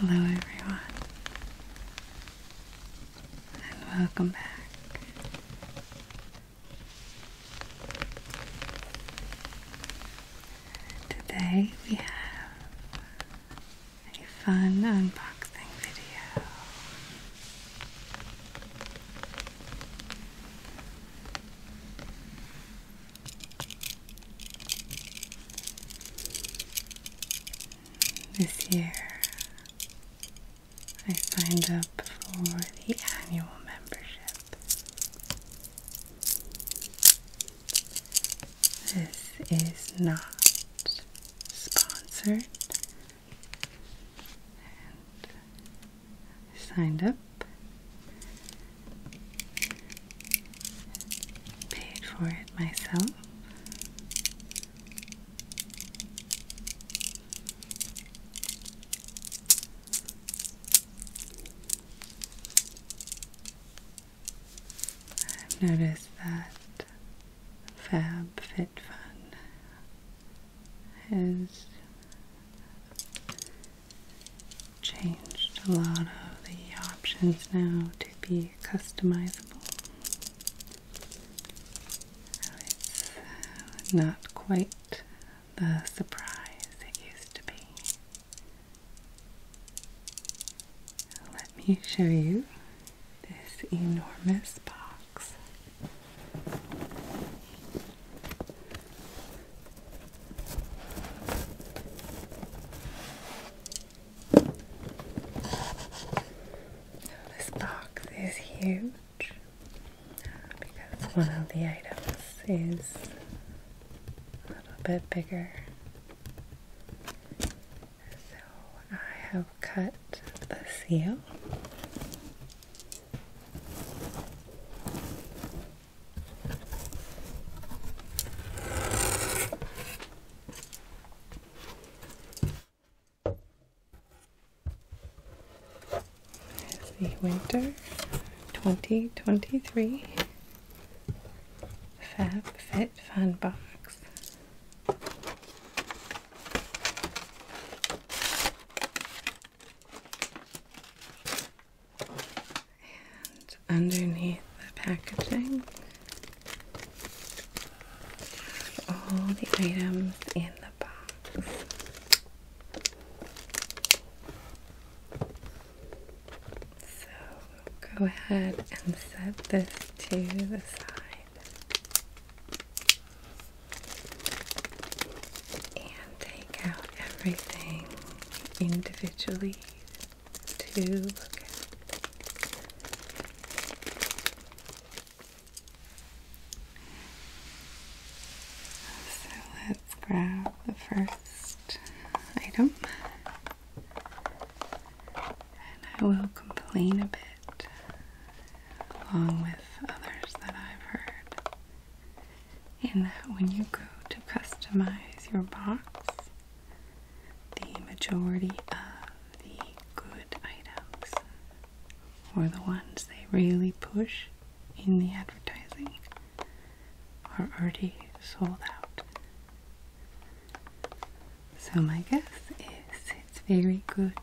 Hello, everyone, and welcome back. Today we have a fun unboxing video this year, I signed up for the annual membership. This is not sponsored signed up, paid for it myself. Noticed that Fab Fit Fun has changed a lot of the options now to be customizable. It's uh, not quite the surprise it used to be. Let me show you this enormous box this box is huge because one of the items is a little bit bigger. So I have cut the seal it's the winter 2023 Fab Fit Fun Box. And underneath the packaging, all the items in the box. So go ahead and set this to the side and take out everything individually to look at. So let's grab the first item, and I will complain a bit along with others that I've heard. And that when you go to customize your box, the majority of the good items or the ones they really push in the advertising are already sold out. So, my guess is it's very good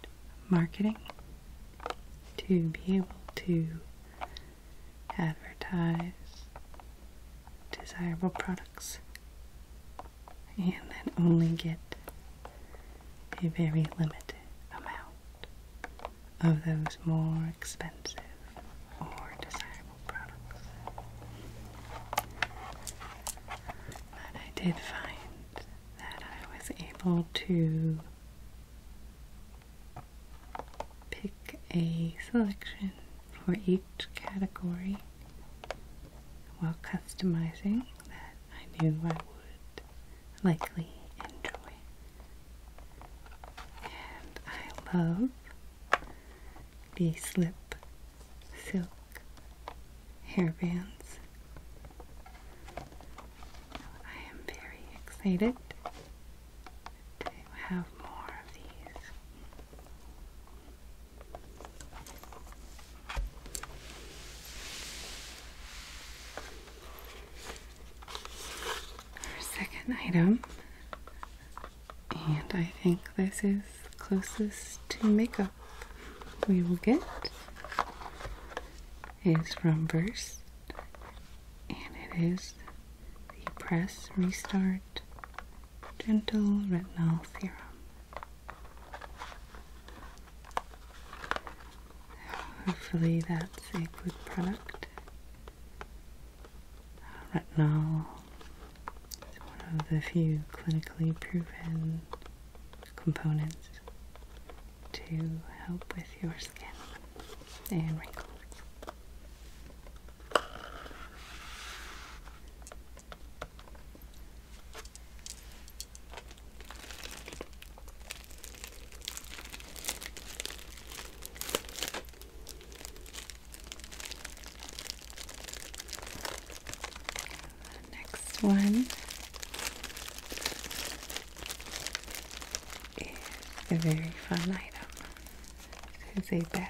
marketing to be able to advertise desirable products and then only get a very limited amount of those more expensive or desirable products. But I did find that I was able to pick a selection for each category while customizing that I knew I would likely enjoy. And I love the slip silk hairbands I am very excited to have more of these. Our second item, and I think this is closest to makeup we will get, is from Verse, and it is the Press Restart Gentle Retinol Serum. Hopefully, that's a good product. Retinol is one of the few clinically proven components to help with your skin and wrinkles. next one is a very fun item. It is a bag.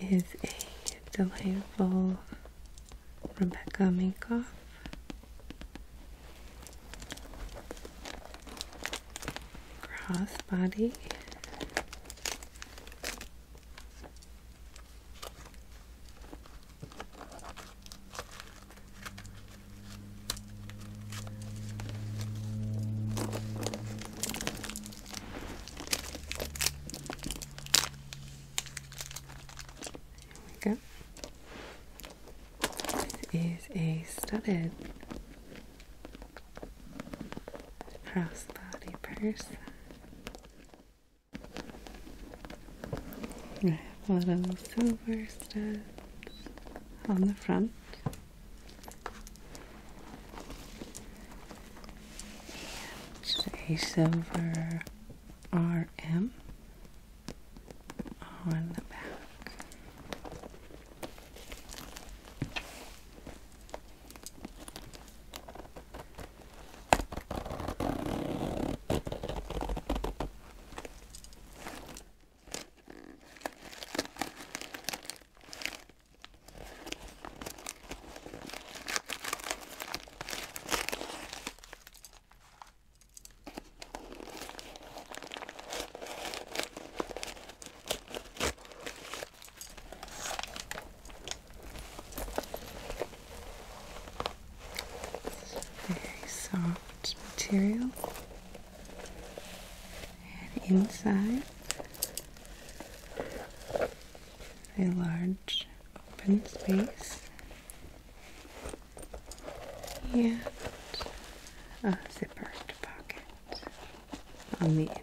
This is a delightful Rebecca Minkoff. Crossbody. There we go. This is a studded crossbody purse. I have a little silver studs on the front. And a silver RM on the back. Very soft material and inside a large open space and a zippered pocket on the inside.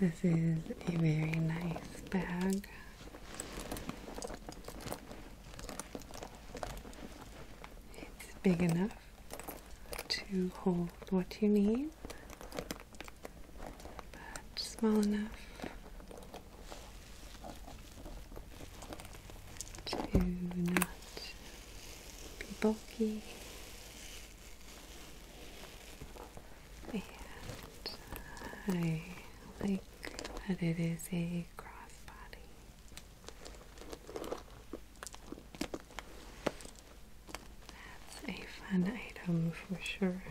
This is a very nice bag. It's big enough to hold what you need, but small enough to not be bulky and I like that it is a crossbody. That's a fun item for sure.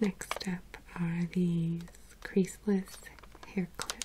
Next up are these creaseless hair clips.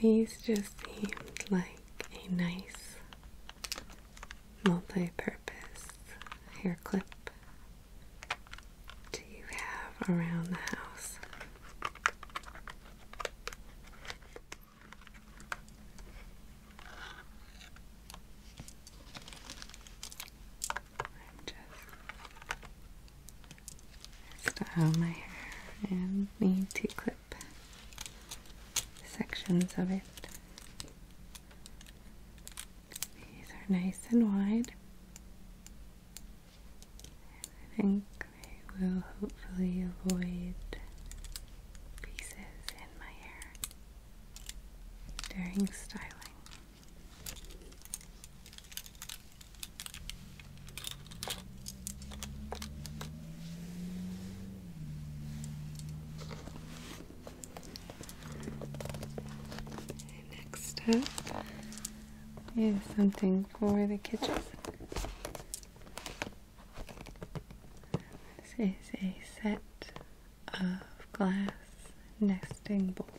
These just seemed like a nice multi purpose hair clip to have around the house. I'm just style my hair and need to clip sections of it. These are nice and wide. And I think we will hopefully avoid pieces during styling. next up is something for the kitchen. This is a set of glass nesting bowls.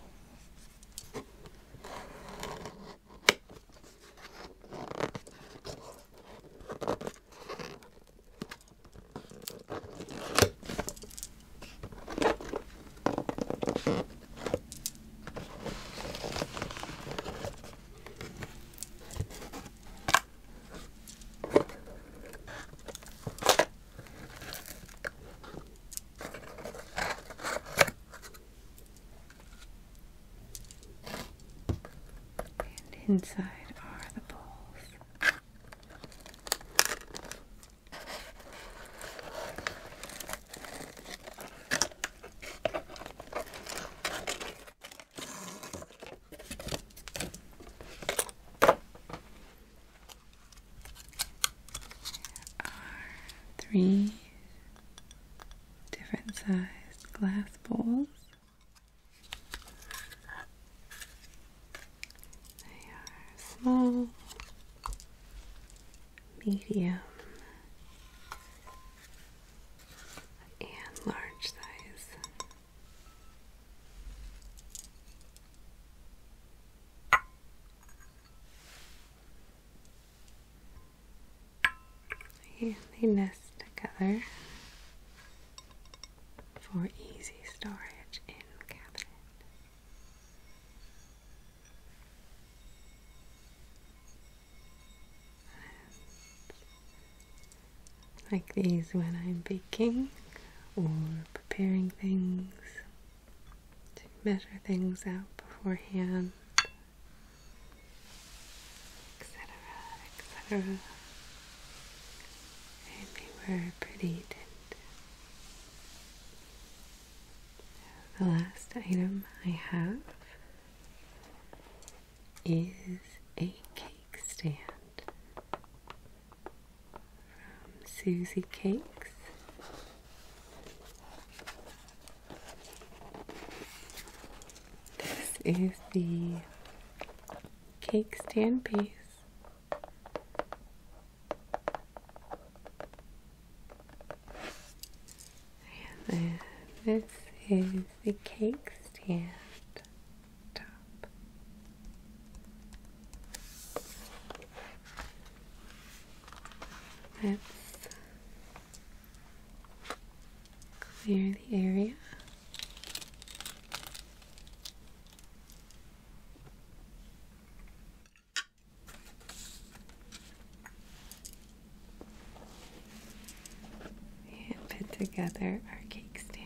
And inside are the balls are three different sized glass bowls. They are small, medium, and large size. And they nest together for easy storage in cabinet like these when I'm baking or preparing things, to measure things out beforehand, etc., etc. they were pretty The last item I have is a cake stand from Susie Cakes. This is the cake stand piece. And then this is the cake stand. Let's clear the area. And put together our cake stand.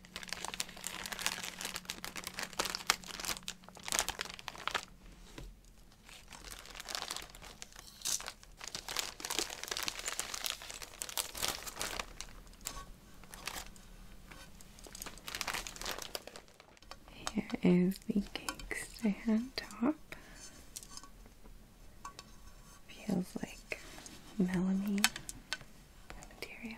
Here is the cake stand top. Feels like melamine material.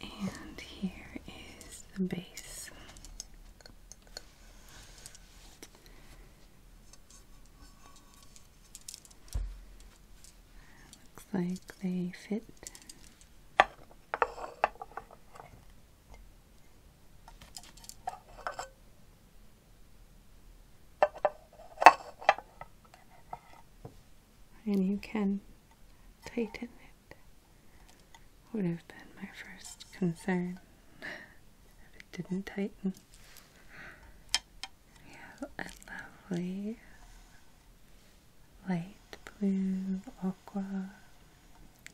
And here is the base. Looks like they fit and you can tighten it. Would have been my first concern if it didn't tighten. a lovely light blue aqua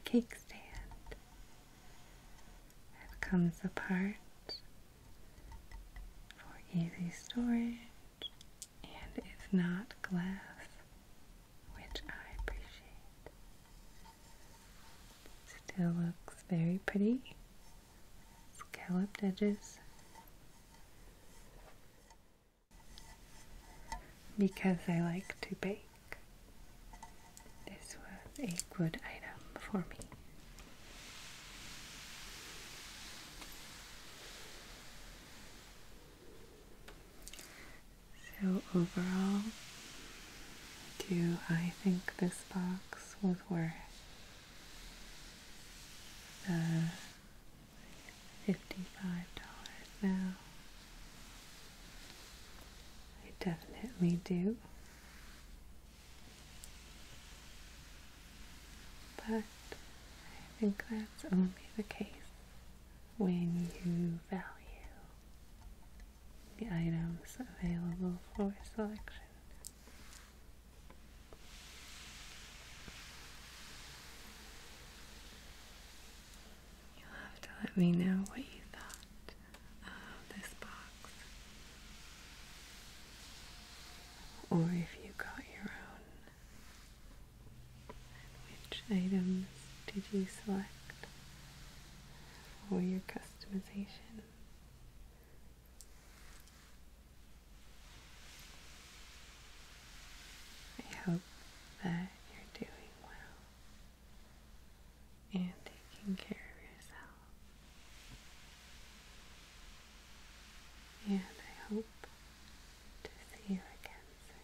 cake stand. It comes apart for easy storage, and it's not glass, which I appreciate. Still looks very pretty. Scalloped edges. Because I like to bake, this was a good item for me. So, overall, do I think this box was worth the $55 now? I definitely do. But I think that's only the case when you value the items available for selection. You'll have to let me know what you thought of this box or if you got your own, which items did you select for your customization? I hope that you're doing well and taking care of yourself and I hope to see you again soon.